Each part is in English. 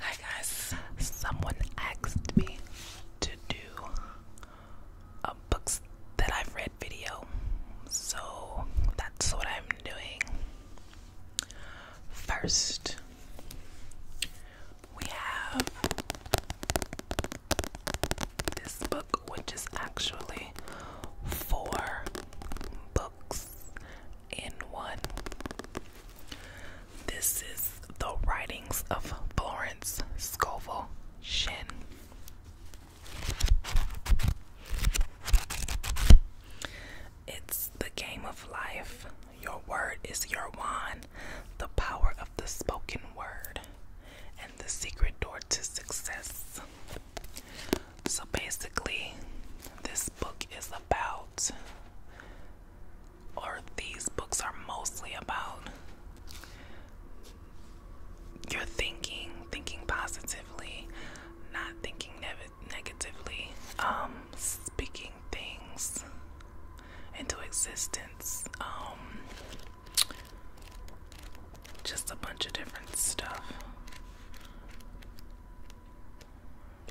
Hi guys, someone asked me to do a books that I've read video, so that's what I'm doing. First, we have this book, which is actually four books in one. This is The Writings of Florence Scovel Shinn. It's the game of life. Your word is your wand, the power of the spoken word, and the secret door to success. So basically, this book is about, or these books are mostly about, your thinking, thinking positively, not thinking negatively, um, speaking things into existence, um, just a bunch of different stuff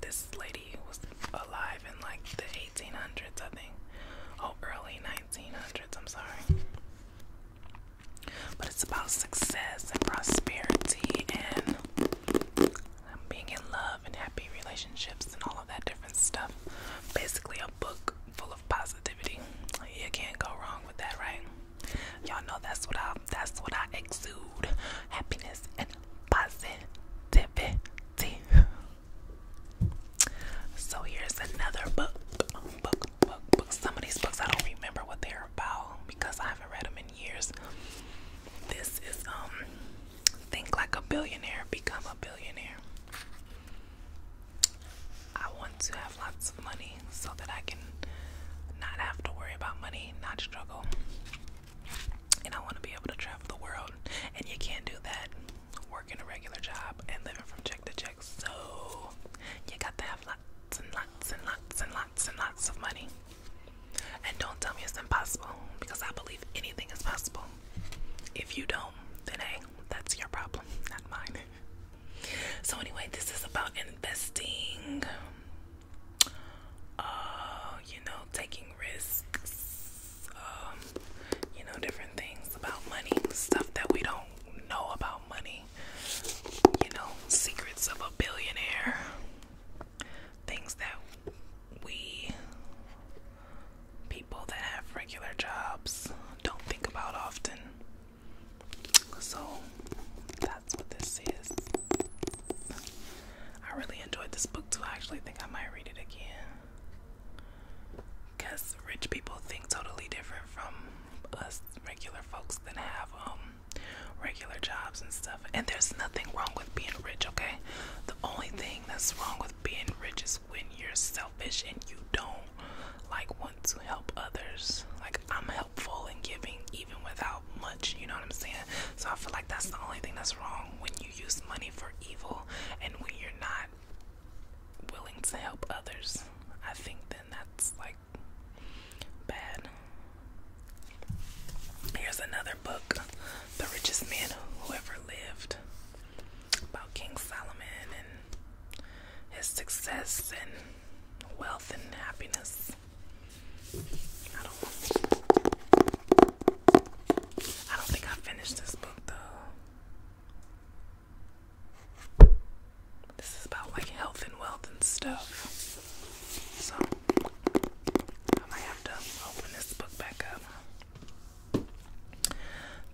this lady was alive in like the 1800s, I think. Oh, early 1900s, I'm sorry. But it's about success and prosperity and um, being in love and happy relationships and all of that different stuff. Basically, a book full of positivity. You can't go wrong with that, right? Y'all know that's what I that's what I exude happiness, and positivity. So here's another book. book. Some of these books I don't remember what they're about because I haven't read them in years. This is um Think Like a Billionaire, Become a Billionaire. I want to have lots of money so that I can not have to worry about money, not struggle. And I want to be able to travel the world. And you can't do that working a regular job and living from check to check. So you got to have lots and lots and lots and lots and lots of money. And don't tell me it's impossible because I believe anything is possible. If you don't, then hey, that's your problem, not mine. So, anyway, this is about investing uh, you know, taking risks, um, you know, different things about money, stuff that we don't know about money, you know, secrets of a billionaire, things that we people that have regular jobs don't think about often. So that's what this is. I really enjoyed this book too. I actually think I might read it again. Because rich people think totally different from us regular folks that have um regular jobs and stuff. And there's nothing wrong with being rich, okay? The only thing that's wrong with being rich is when you're selfish and you don't like want to help others. Like I'm helpful and giving even without much, you know what I'm saying? So I feel like that's the only thing that's wrong when you use money for evil and when you're not willing to help others. I think then that's like bad. Here's another book, The Richest Man Who Ever Lived, about King Solomon and his success and wealth and happiness. I don't. think I finished this book though. This is about like health and wealth and stuff. So I might have open this book back up.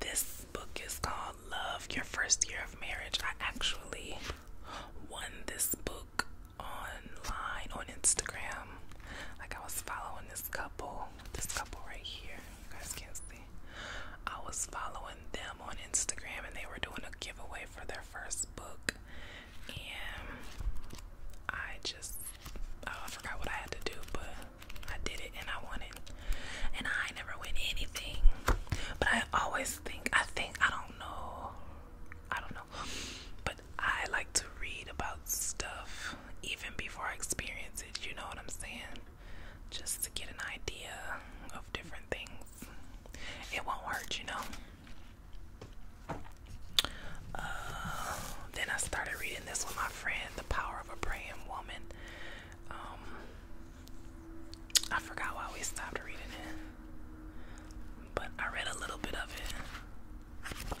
This book is called Love Your First Year of Marriage. I actually won this book online on Instagram. Like I was following this couple, this couple right here. You guys can't see. I was following them on Instagram and they were doing a giveaway for their first book. And I just, oh, I forgot what I had to do, but I did it and I won it. And I never win anything. But I always just think I think I don't know. I don't know. But I like to read about stuff even before I experience it, you know what I'm saying? Just to get an idea of different things. It won't hurt, you know. Uh, then I started reading this with my friend, The Power of a Praying Woman. Um, I forgot why we stopped reading it, but I read a little bit of it.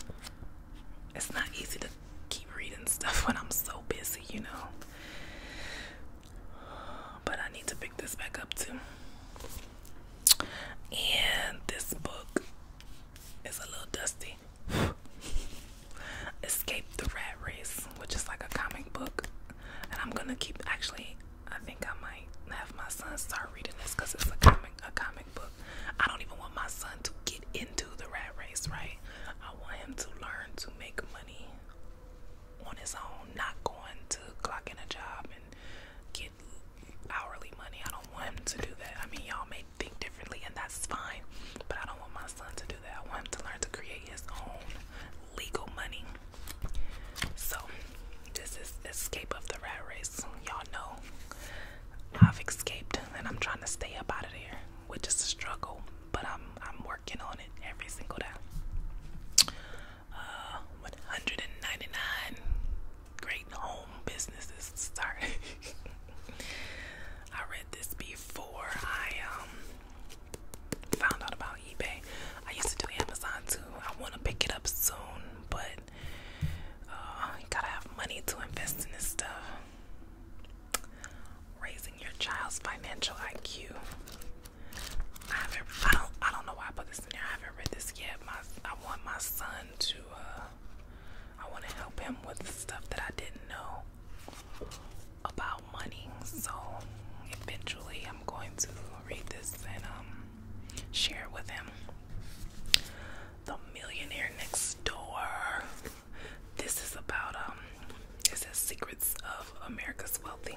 It's not easy to keep reading stuff when I'm so busy, you know. But I need to pick this back up too. And this book is a little dusty. Escape the Rat Race, which is like a comic book. And I'm gonna keep actually I think I might have my son start reading this because it's a comic, a comic book. I don't even want my son to get into the rat race, right? I want him to learn to make money on his own, not going to clock in a job and get hourly money. I don't want him to do that. I mean, y'all may think differently, and that's fine, but I don't want my son to do that. I want him to learn to create his own legal money. So, this is Escape of the Rat Race. Y'all know I've escaped and I'm trying to stay up out of there, which is a struggle, but I'm, I'm working on it every single day. Uh, 199 great home businesses. Sorry. I read this before. I um found out about eBay. I used to do Amazon too. I want to pick it up soon, but uh, gotta have money to invest in this stuff. Raising your child's financial IQ. I haven't. I don't. I don't know why I put this in there. I haven't read this yet. My. I want my son to. Uh, I want to help him with the stuff that I didn't know about money. So eventually, I'm going to read this and um, share it with him. The Millionaire Next Door. This is about um, it says Secrets of America's Wealthy.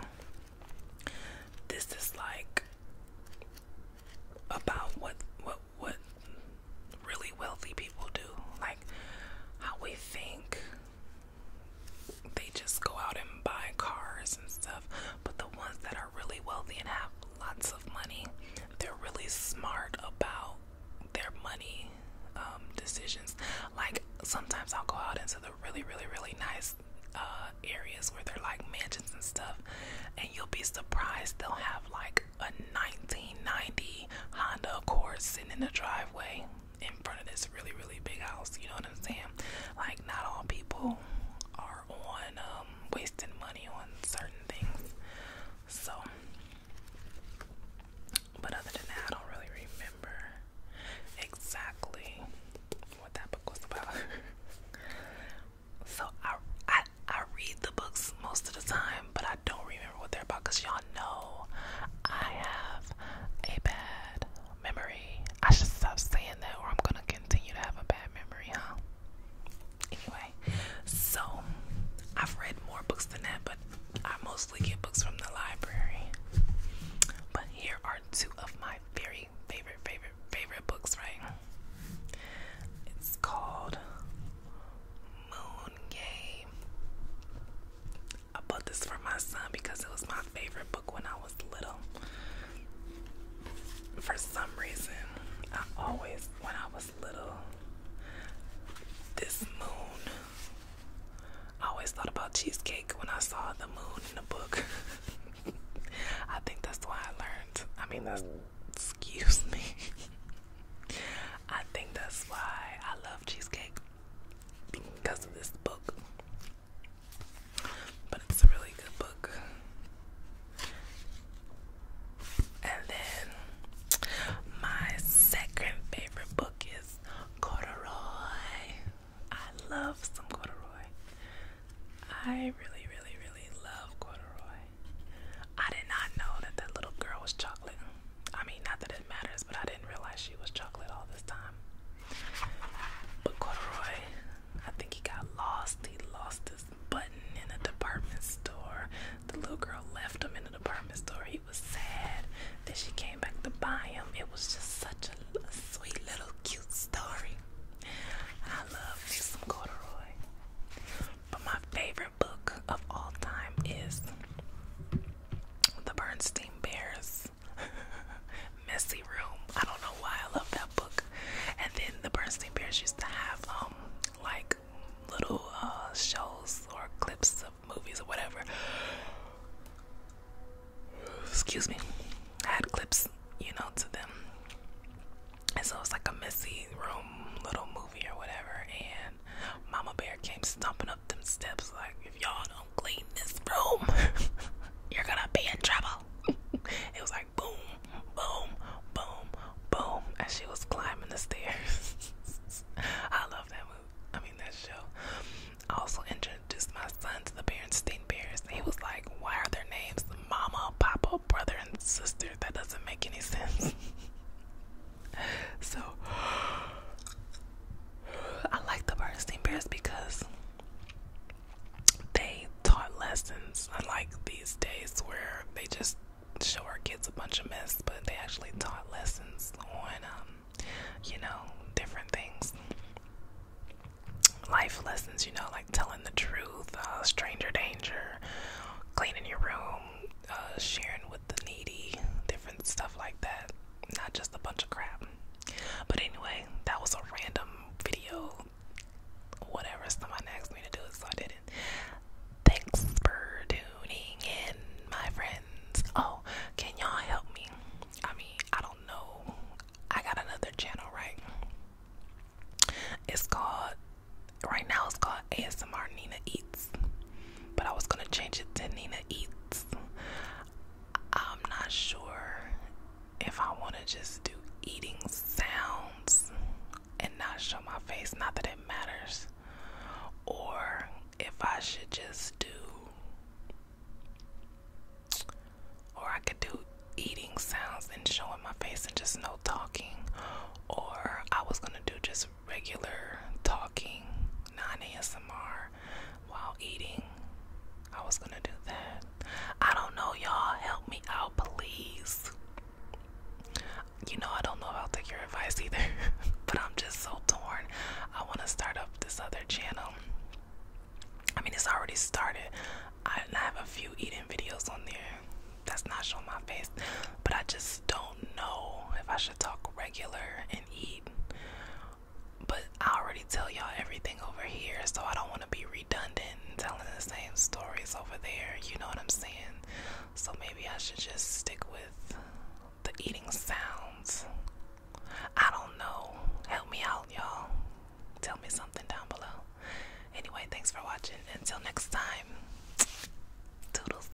This is like about what what what really wealthy people do, like how we think they just go out and buy cars and stuff. But the ones that are really wealthy and have lots of money, they're really smart about their money um, decisions. Like sometimes I'll go out into the really, really, really nice uh, areas where they're like mansions and stuff, and you'll be surprised they'll have like a 1990 Honda Accord sitting in the driveway in front of this really, really big house. You know what I'm saying? Like, not all people are on um, wasting money on certain things. So, but other than that, I don't really remember exactly what that book was about. so I, I I read the books most of the time, but I don't remember what they're about because y'all know I have a bad memory. I should stop saying that, or I'm gonna continue to have a bad memory, huh? Anyway, so I've read more books than that, but I mostly get books from the library. But here are two of my very favorite, favorite, favorite books, right? It's called Moon Game I bought this for my son because it was my favorite book when I was little. For some reason, I always, when I was little, this moon, I always thought about cheesecake when I saw the moon in the book. I think that's why I learned. I mean, that's, excuse me. I think that's why I love cheesecake because of this book. But it's a really good book. And then my second favorite book is Corduroy. I love some corduroy. I really, really, really love corduroy. I did not know that that little girl was chocolate. I mean, not that matters, but I didn't realize she was chocolate all this time. But Corduroy, I think he got lost. He lost his button in a department store. The little girl left him in the department store. He was sad. Then she came back to buy him. It was just such a, sweet little cute story. I love some corduroy. But my favorite book of all time is the Bernstein Bears. Messy Room. I don't know why I love that book. And then the Bernstein Bears used to have um like little uh shows or clips of movies or whatever. Excuse me. I had clips, you know, to them. And so it's like a messy room little movie or whatever and Mama Bear came stomping them steps like if y'all don't clean this room you're gonna be in trouble it was like boom boom boom boom as she was climbing the stairs i love that movie i mean that show also introduced my sons to the parents teen parents he was like why are their names mama papa brother and sister that doesn't make any sense so I like the Bernstein Bears because they taught lessons, unlike these days where they just show our kids a bunch of mess, but they actually taught lessons on, um, you know, different things. Life lessons, you know, like telling the truth, uh, stranger danger, cleaning your room, uh, sharing with the needy, different stuff like that. Not just a bunch of crap. But anyway, that was a random video. Whatever someone asked me to do so I did it. Thanks for tuning in, my friends. Oh, can y'all help me? I mean, I don't know. I got another channel, right? It's called, right now it's called ASMR Nina Eats but I was gonna change it to Nina Eats. I'm not sure if I want to just do eating sounds and not show my face, not that it matters, or if I should just do. Or I could do eating sounds and showing my face and just no talking. Or I was gonna do just regular talking, non ASMR while eating. I was gonna do that. I don't know, y'all. Help me out, please. You know, I don't know if I'll take your advice either, but I'm just so torn. I want to start up this other channel. I mean, it's already started. I have a few eating videos on there that's not showing my face, but I just don't don't know if I should talk regular and eat. But I already tell y'all everything over here, so I don't want to be redundant telling the same stories over there. You know what I'm saying? So maybe I should just stick with the eating sounds. I don't know. Help me out, y'all. Tell me something down below. Anyway, thanks for watching. Until next time, toodles.